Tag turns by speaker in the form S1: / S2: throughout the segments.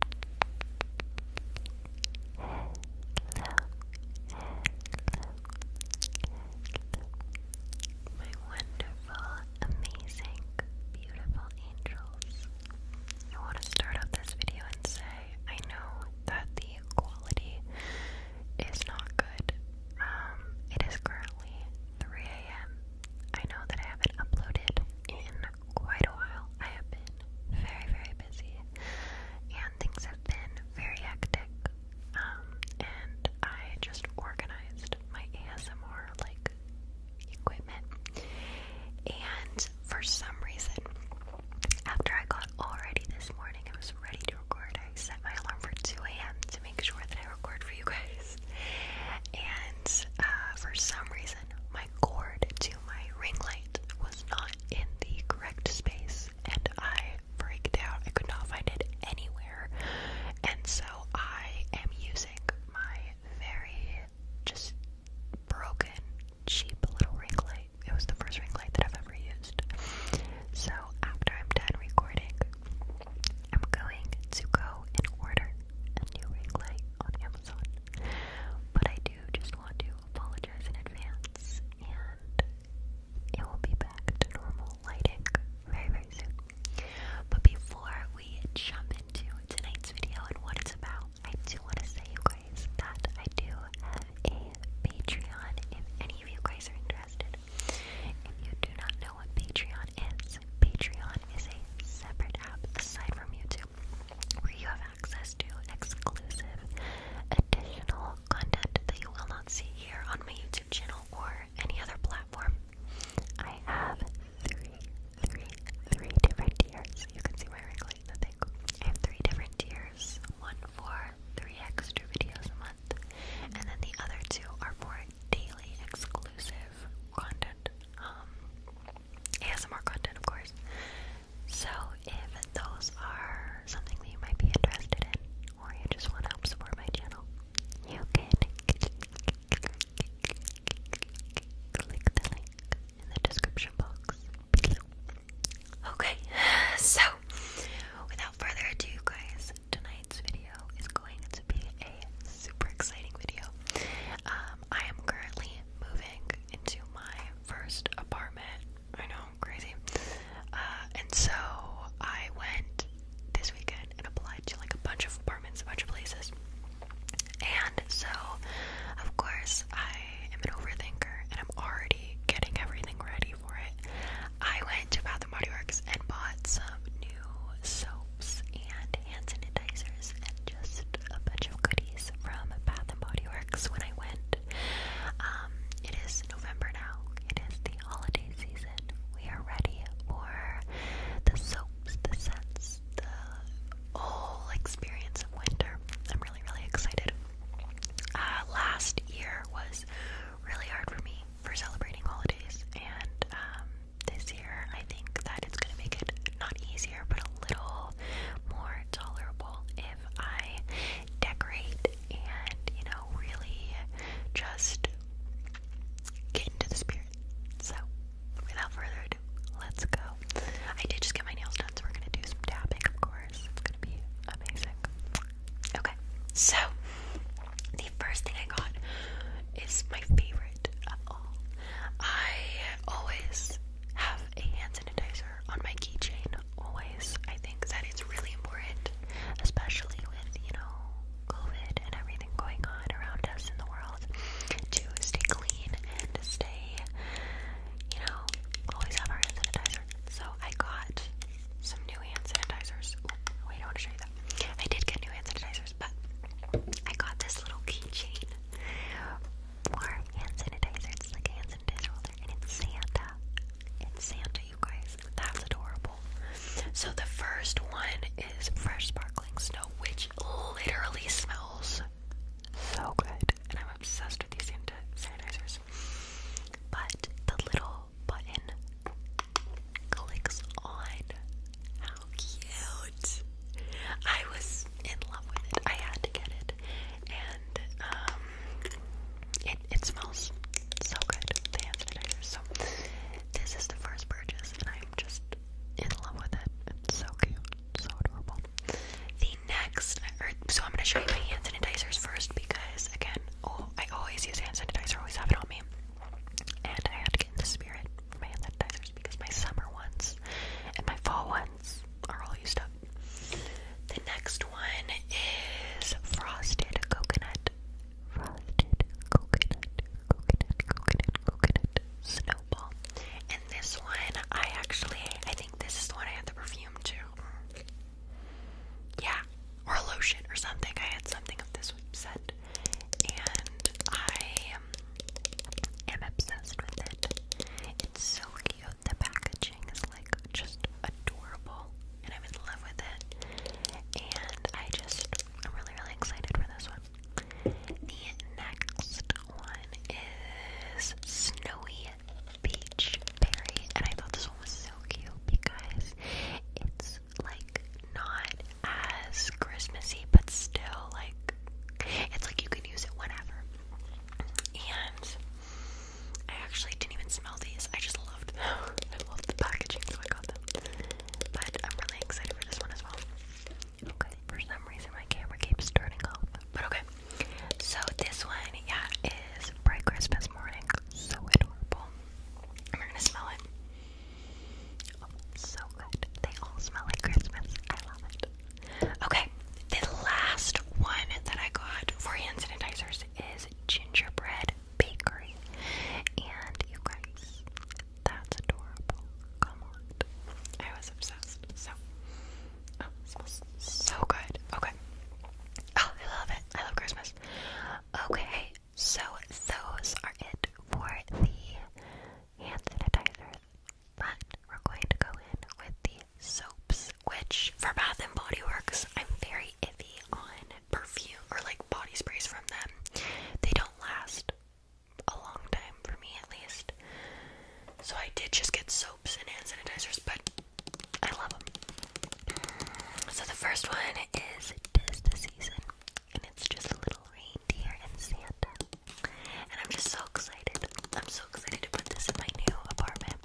S1: My wonderful, amazing, beautiful angels. I want to start off this video and say I know that the quality is not good. Um, it is currently 3 a.m. I know that I haven't uploaded in quite a while. I have been very, very busy, and things have been very hectic. Um, and I just organized my ASMR like equipment, and for some reason, after I got all ready this morning, I was ready to record. I set my alarm for 2 a.m. to make sure that I record for you guys, and uh, for some reason my cord to my ring light was not in the correct space, and I freaked out. I could not find it anywhere. And so I am using my very just broken, cheap little ring light. It was the first ring light that I've ever used. So after I'm done recording, I'm going to go and order a new ring light on Amazon. But I do just want to apologize in advance, and it will be back to normal lighting very, very soon. But before we jump into tonight's video and what it's about, I do want to say, you guys, that I do have a Patreon if any of you guys are interested. If you do not know what Patreon is, Patreon is a separate app aside from YouTube where you have access to exclusive additional content that you will not see here on my YouTube channel or any other platform. I have three, three, three different tiers. You can see my ring light in the thing. I have three different tiers. One for three extra videos a month, and then the other two are for daily exclusive content. Um, more content, of course. So, if those are something that you might be interested in, or you just want to help support my channel, you can click the link in the description box below. Okay, so without further ado, guys, tonight's video is going to be a super exciting video. Um, I am currently moving into my first apartment. I know, crazy. Uh, and so I went this weekend and applied to like a bunch of apartments, a bunch of places. And so, of course, I am an overthinker and I'm already getting everything ready for it. I went to Bath and Body Works and bought some new soaps and hand sanitizers and just a bunch of goodies from Bath and Body Works when I went. Um, it is November now. It is the holiday season. We are ready for the soaps, the scents, the whole experience of winter. I'm really, really excited. Uh, last year was really hard for me for celebrating holidays, and um, this year. I think that it's going to make it not easier, but a little more tolerable if I decorate and, you know, really just get into the spirit. So, without further ado, let's go. I did just get my nails done, so we're going to do some tapping, of course. It's going to be amazing. Okay, so the first thing I got is my favorite I always have a hand sanitizer on my keychain. Always. I think that it's really important, especially with, you know, COVID and everything going on around us in the world, to stay clean and stay, you know, always have our hand sanitizer. So I got some new hand sanitizers. wait, I want to show you that. I did get new hand sanitizer but I got this little keychain for hand sanitizer. It's like a hand sanitizer holder, and it's Santa. It's Santa, you guys. That's adorable. So the first one is fresh sparkling snow, which literally smells so good, and I'm obsessed with these Santa sanitizers. But the little button clicks on. How cute! I was in love with it. I had to get it, and um, it it smells so good. The hand sanitizer. So this is the first purchase, and I'm just in love with it. It's so cute, so adorable. The next, so I'm gonna show you my hand sanitizers first because again, oh, I always use hand sanitizer. Always have it on me. And I had to in the spirit for my hand sanitizers because my summer ones and my fall ones are all used up. The next one is frosted coconut. Frosted coconut, coconut, coconut, coconut snowball. And this one, I actually, I think this is the one I had the perfume to. Yeah, or lotion or something. I had something of this set and I am obsessed with it. It's so cute. The packaging is like just adorable, and I'm in love with it. And I just, I'm really, really excited for this one. The next one is Snowy Beach Berry, and I thought this one was so cute because it's is like not as Christmassy, but still like it's like you can use it whenever. And I actually didn't even smell these. I just loved I loved the packaging, so I got them. But I'm really excited for this one as well. Okay, for some reason my camera keeps turning off. But okay. So this one, yeah, is Bright Christmas Morning. So adorable. I'm gonna smell it. Oh, so good. They all smell like Christmas. I love it. Okay, the last one that I got for hand sanitizers is Gingerbread Bakery. And you guys, that's adorable. Come on. I was obsessed. So, oh, it smells so good. Okay. Oh, I love it. I love Christmas. Okay, so those are it for the hand sanitizers. But we're going to go in with the soaps, which for Bath and Body Works, I'm very iffy on perfume or like body sprays from them. They don't last a long time for me, at least. So I did just get soaps and hand sanitizers, but I love them. So the first one is "Tis the Season" and it's just a little reindeer and Santa. And I'm just so excited. I'm so excited to put this in my new apartment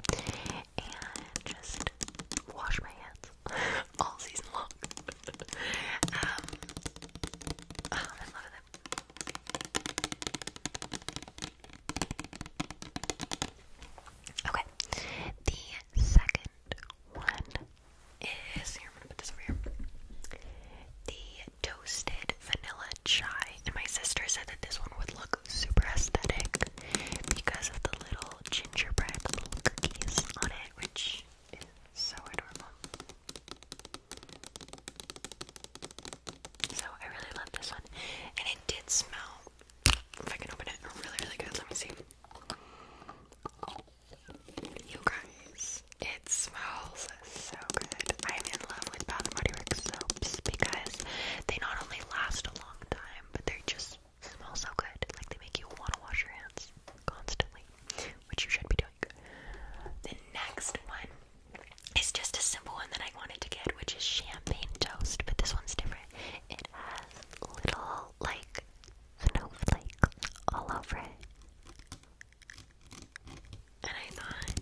S1: and just wash my hands all season long. um, oh, I love it. Okay, the second one is here. i this over here. The toasted vanilla chai, and my sister said that this one would look super aesthetic because of the little gingerbread cookies on it, which is so adorable. So I really love this one, and it did smell. If I can open it, really, really good. Let me see. You guys, it smells so good. I'm in love with Bath and Body Works soaps because they not only last a long time, but they just smell so good. Like they make you want to wash your hands constantly, which you should be doing. The next one is just a simple one that I wanted to get, which is champagne toast, but this one's different. It has little like snowflakes all over it. And I thought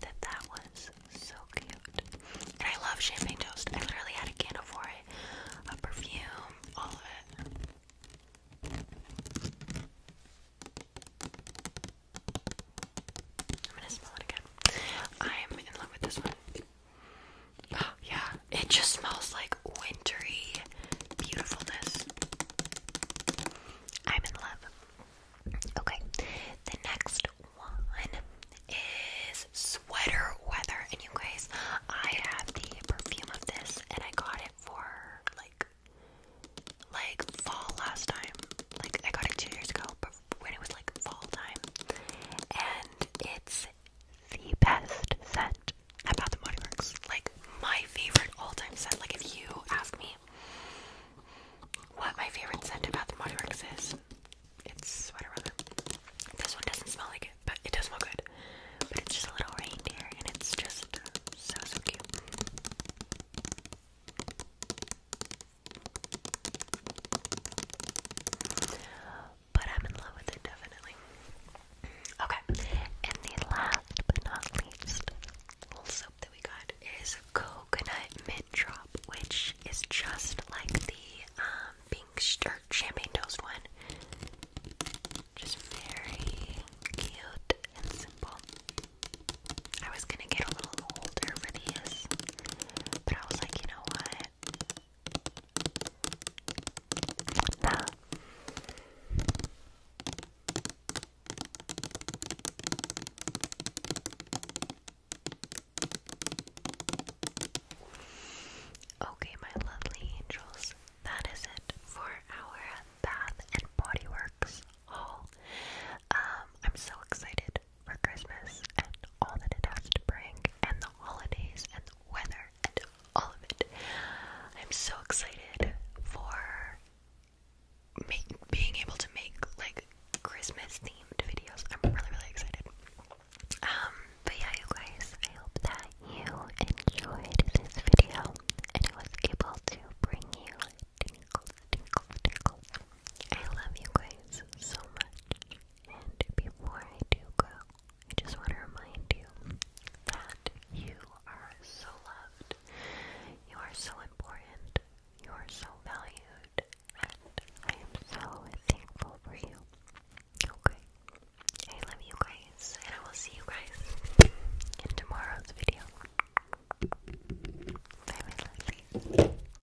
S1: that that was so cute. And I love champagne toast. I literally had a candle for it, a perfume, all of it. I'm gonna smell it again. I'm in love with this one. yeah, it just smells like wintry beautifulness. I'm in love. Okay, the next one is sweater weather. And you guys, I have the perfume of this and I got it for like like fall last time. Like I got it two years ago, when it was like fall time. And it's the best scent about the Body Like my favorite all-time scent. Like if you ask me what my favorite scent about the Body is, it's sweater rubber. This one doesn't smell like it, but it does smell good. But it's just a little reindeer, and it's just so so cute. But I'm in love with it definitely. Okay, and the last but not least little soap that we got is coconut mint drop, which is just like the um, pink or champagne toast one. Just very cute and simple. I was gonna get a little older for these, but I was like, you know what? Nah. Okay, my lovely angels, that is it for our bath and body works haul. Um, I'm so excited for Christmas and all that it has to bring, and the holidays and the weather and all of it. I'm so excited for make, being able to make like Christmas themed videos. I'm really, really excited. Um, but yeah, you guys, I hope that you enjoyed this video and I was able to bring you tingles, tingles, tingles. I love you guys so much. And before I do go, I just want to remind you that you are so loved, you are so important, you are so valued, and I am so thankful for you. Okay. I love you guys, and I will see you guys in tomorrow's video. Bye, my lovely.